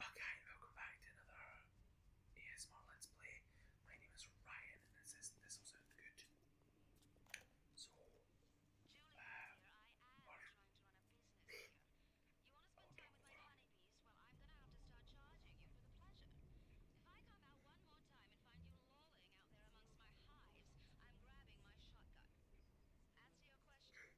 Okay, welcome back to another ASMR Let's Play. My name is Ryan and this is, this will sound good. So, Julie, um, we're... oh, don't over. Well, I'm gonna have to start charging you for the pleasure. If I come out one more time and find you lolling out there amongst my hives, I'm grabbing my shotgun. Answer your question.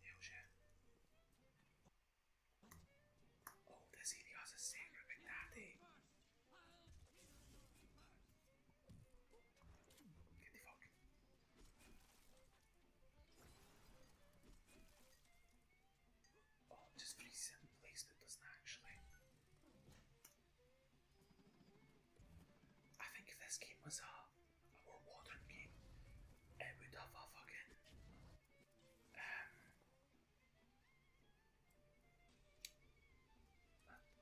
Hell yeah. Oh, does Helios is sacred Magnate? Oh, just freezes in place, but does actually. I think if this game was a, more modern game, it would have a fucking um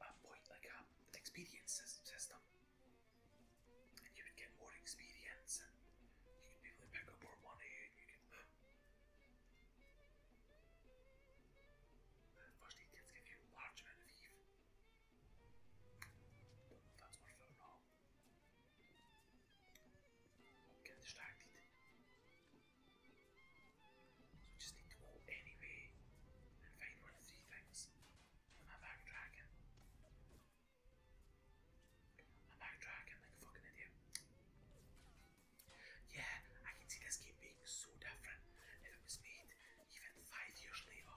a, point like a experience system, and you would get more experience, and you could be pick up more money, and you could. First aid give you a i just need to go anyway and find one of three things. I'm backtracking. I'm backtracking like fucking idiot. Yeah, I can see this game being so different if it was made even five years later.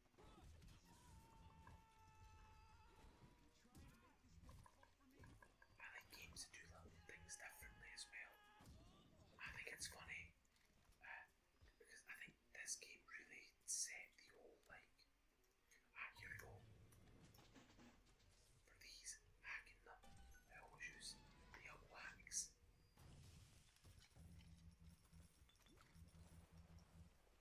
I like games do little things differently as well. I think it's funny uh, because I think this game really set the whole like. Ah, here go. For these hacking them, I always the elbow axe.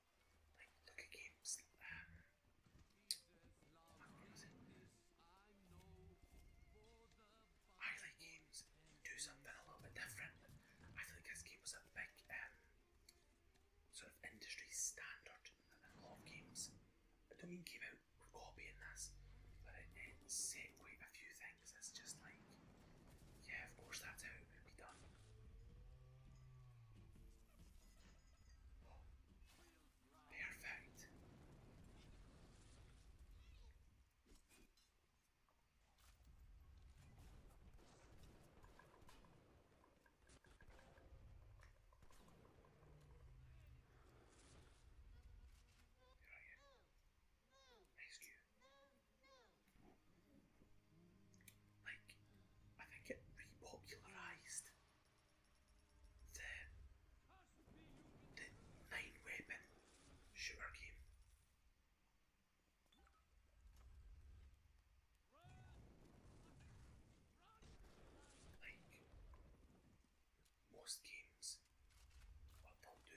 like games I like games do something a little bit different. I feel like this game a big um sort of industry standard in games. I don't mean came out copying this, but it, it set quite a few things It's just like yeah, of course, that's how it would be done. Perfect. Rescue. Like, I think it repopularised the, nine weapon shooter game. Like most games, what they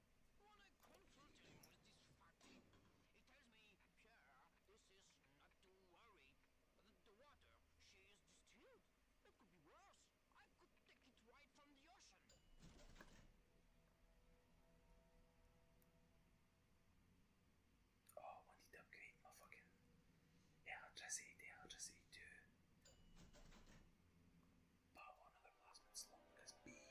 When I consult him with this fact, he tells me, Pierre, this is not to worry. The, water, she is distilled. It could be worse. I could take it right from the ocean. Oh, I need to upgrade my fucking electricity, the electricity too. But I want another plasmid slot because bees.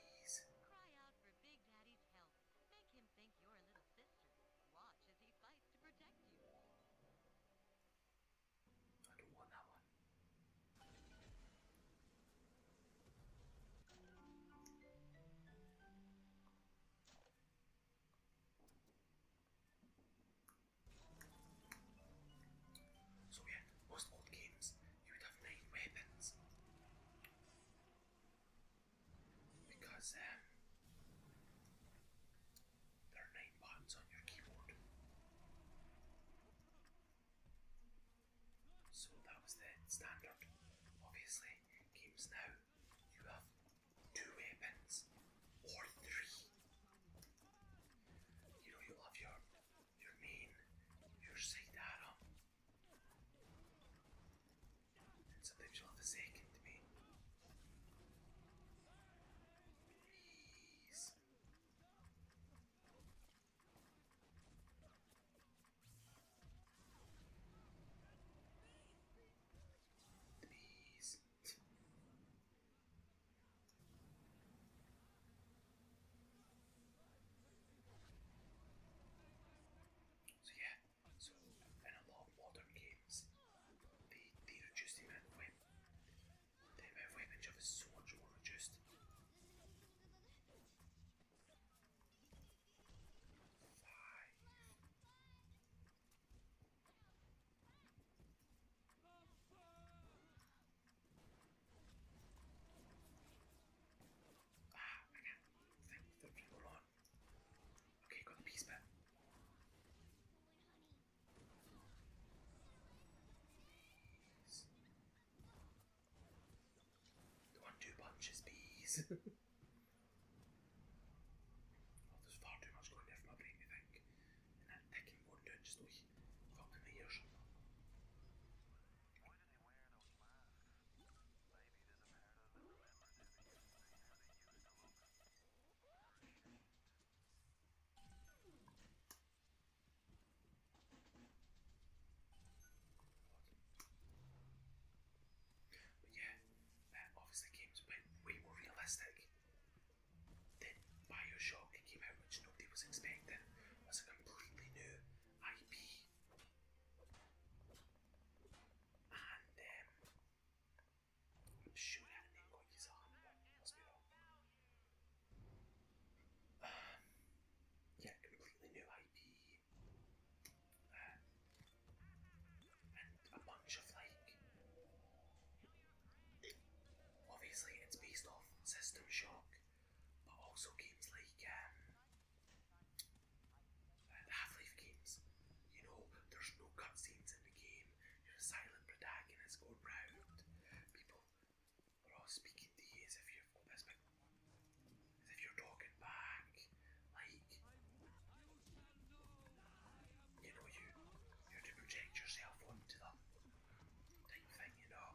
Make him think you're a little sister. Watch as he fights to protect you. I don't want that one. So yeah, most old games you would have nine weapons because um, there are nine buttons on your keyboard. So that was the standard. Obviously, games now you have two weapons or three. You know you have your your main, your side so they shall have forsaken to me. Please. Please. So yeah, so in a lot of modern games, they, they reduce the amount of weapon. The amount of weapon so much more reduced. Ah, I can't think on. Okay, got the piece back. One, two punches, bees. oh, there's far too much going there for my brain to think. And that picking will just like got but yeah, uh, obviously games went way more realistic than Bioshock. It came out which nobody was expecting. It was a completely new IP and um, shoot, a handbag. yeah, completely new IP. and a bunch of like. Obviously, it's based off System Shock, but also games like um, Half-Life games, you know, there's no cutscenes in the game. You're a silent protagonist going round. People are all speaking to you as if you're talking back. Like you know, you you have to project yourself onto them. Type thing, you know.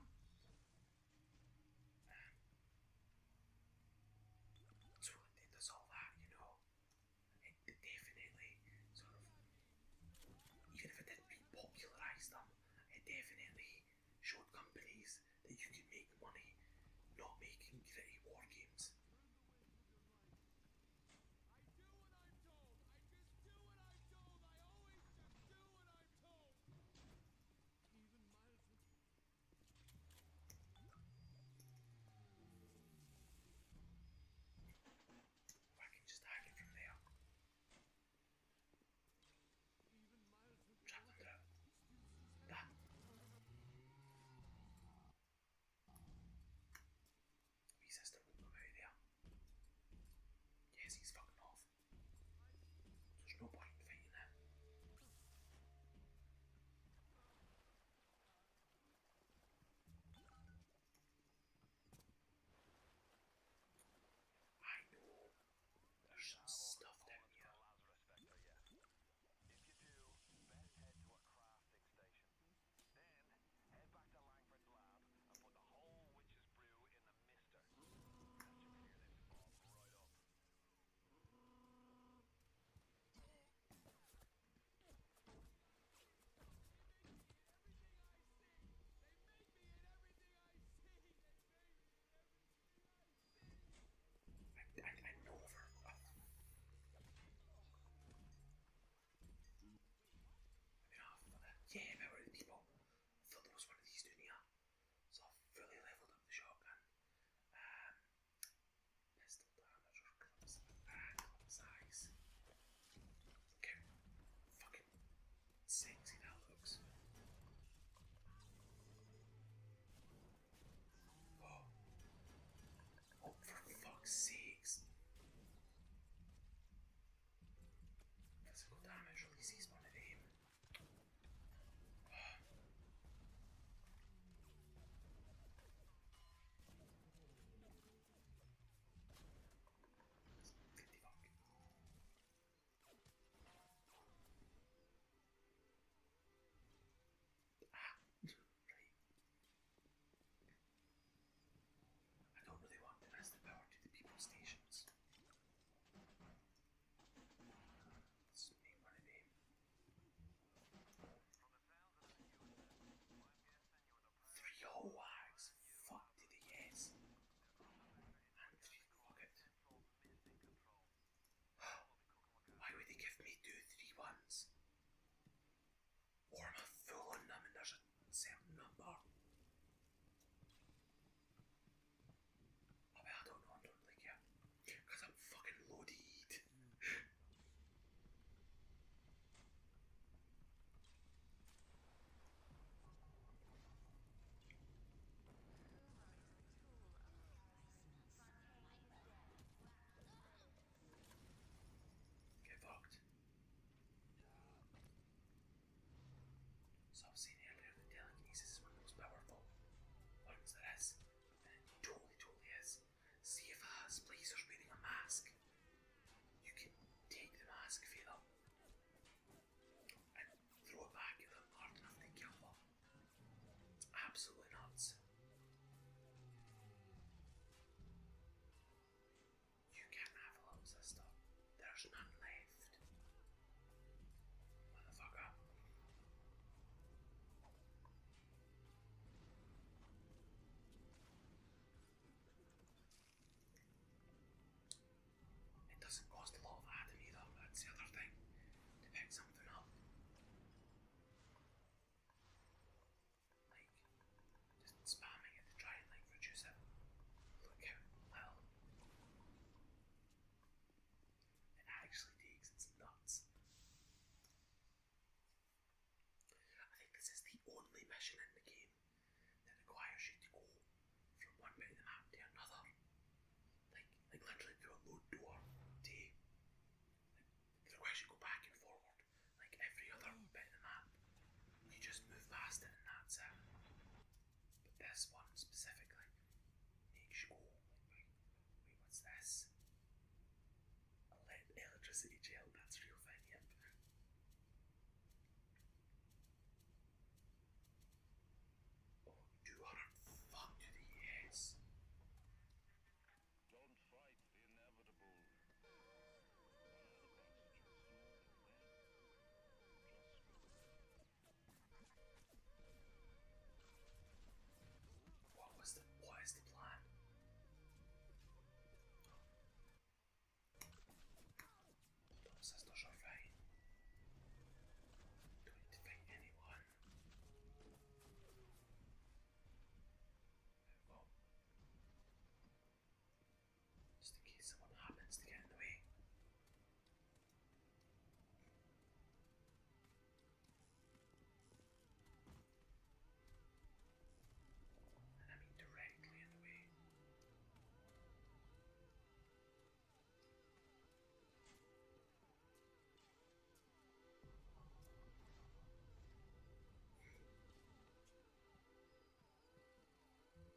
That's it does all that, you know. definitely sort of, even if it didn't popularise them, um, it definitely showed companies that you can make money not making gritty war games. I can just hack it from there. Trap the dirt. Done. He says there there. Yes, he's fucking off. There's no point in fighting him. I know there's some stuff down here. If you do, best head to a crafting station. Then head back to Langford's lab and put the whole witch's brew in the mister. That should clear this off right up. Yeah, remember the people? I thought there was one of these doing here. So i fully leveled up the shotgun. Um, pistol diameter, clips, ah, size. Look how fucking sexy that looks. Oh, oh, for fuck's sakes. Physical damage releases one of them. Ah, right. I don't really want to miss the power to the people's stations. Let's Three whole wags. Fuck to the yes. Why would they give me two three ones? Or am I full them and there's a certain number? I don't know. I don't like because I'm fucking loaded. Get fucked. So I've seen earlier the telekinesis is one of the most powerful ones there is. And it totally, totally is. See if a splicer's wearing a mask. You can take the mask off them and throw it back at them hard enough to absolutely not. You can have a little sister. There's none left. Motherfucker. It doesn't cost a lot of atom either, that's the other thing, to pick something up. Like, just spamming it to try and like reduce it. Look how little. It actually takes its nuts. I think this is the only mission in the game that requires you to go from one bit of the map to another. Like, like literally through a load door to requires you go back and forward. Like every other bit of the map. You just move past and that's it but this one specifically makes you wait, what's this? Electricity gel, that's real thing, yep. Oh, 240 yes. Don't fight the inevitable. What was the what is the plan? Entonces no shall fight. Do I need to anyone? Just in case someone happens to get in the way. And I mean directly in the way. Oh,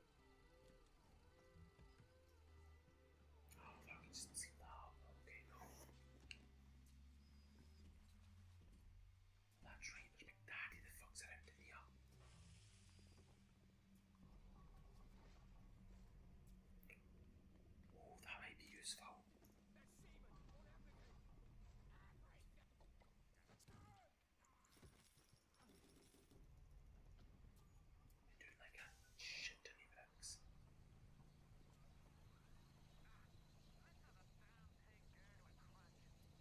fuck, it doesn't seem Okay, no. That tree must be daddy the fuck's out in here. Oh, that might be useful. Dude, my cat shit ton of eggs. It seems Julie's death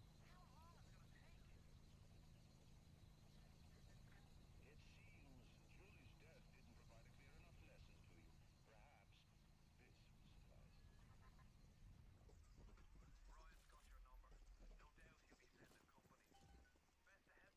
didn't provide a clear enough lesson to you. Perhaps this will suffice. Ryan's got your number. No doubt he'll be sending company. Best to head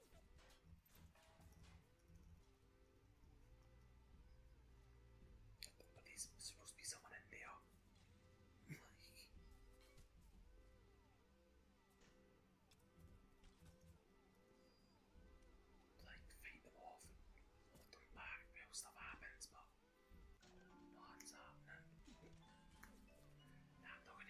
But there's supposed to be someone in there. like... Like, fight them hold them back while stuff happens, but... What's happening? not gonna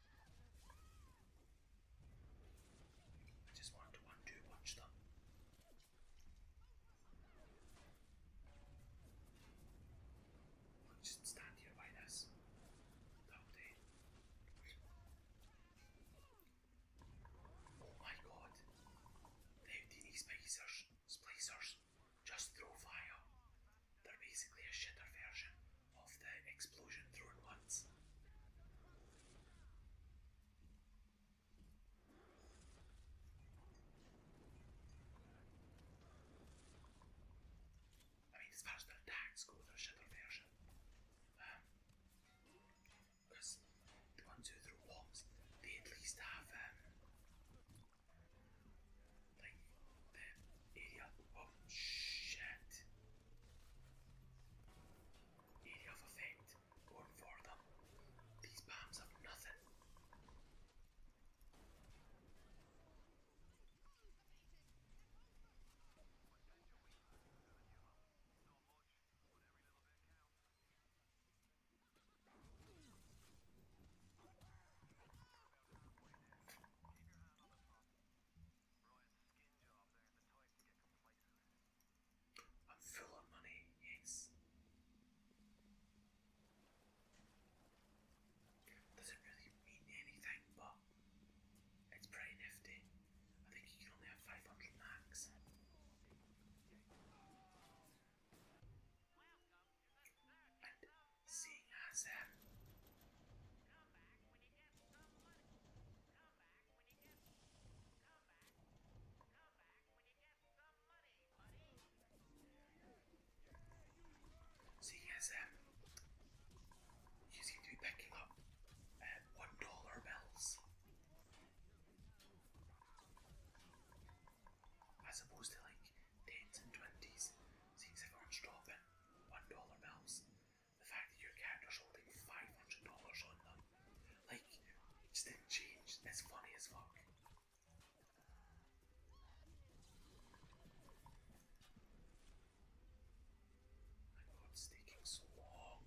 I just want to one two punch them. just stand here by this. The whole Oh my god. They these splicers, splicers just throw fire they're basically a shitter version of the explosion thrown ones. I mean, as attacks go, they shitter version. Because um, the ones who throw bombs, they at least have um, like that area. Oh shit! Area of effect. Going for them. These bombs have nothing. I'm full of money, yes. Doesn't really mean anything, but it's pretty nifty. I think you can only have 500 max seeing as um, seeing as um, you seem to be picking up uh, one dollar bills as opposed to like tens and twenties, seems like everyone's dropping one dollar bills. The fact that your character's holding five hundred dollars on them, like, just didn't change. That's funny as fuck. My God, it's taking so long.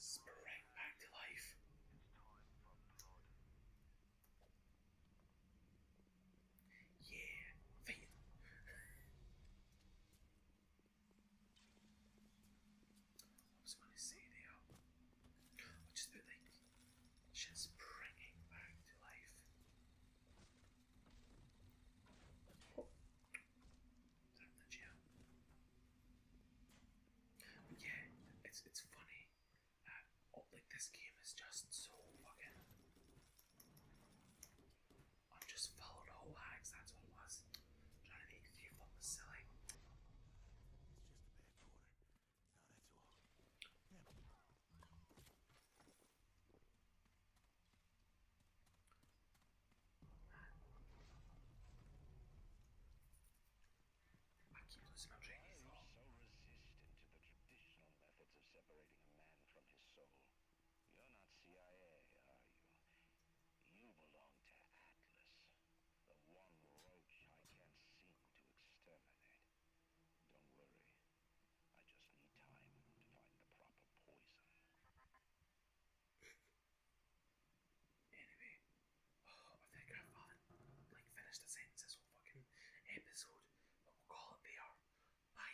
Spring back to life. Yeah, I was going to say there. I just put like, she's springing back to life. Down yeah, it's it's funny. Uh, oh, like this game is just so fucking. I'm just followed all lags. That's what it was. trying to make a bad quarter. No, I keep losing my so resistant to the traditional methods of separating a man from his soul. You're not CIA, are you? You belong to Atlas, the one roach I can't seem to exterminate. Don't worry, I just need time to find the proper poison. Anyway, oh, I think I've like finished the sentence whole fucking episode, but we'll call it there. Bye.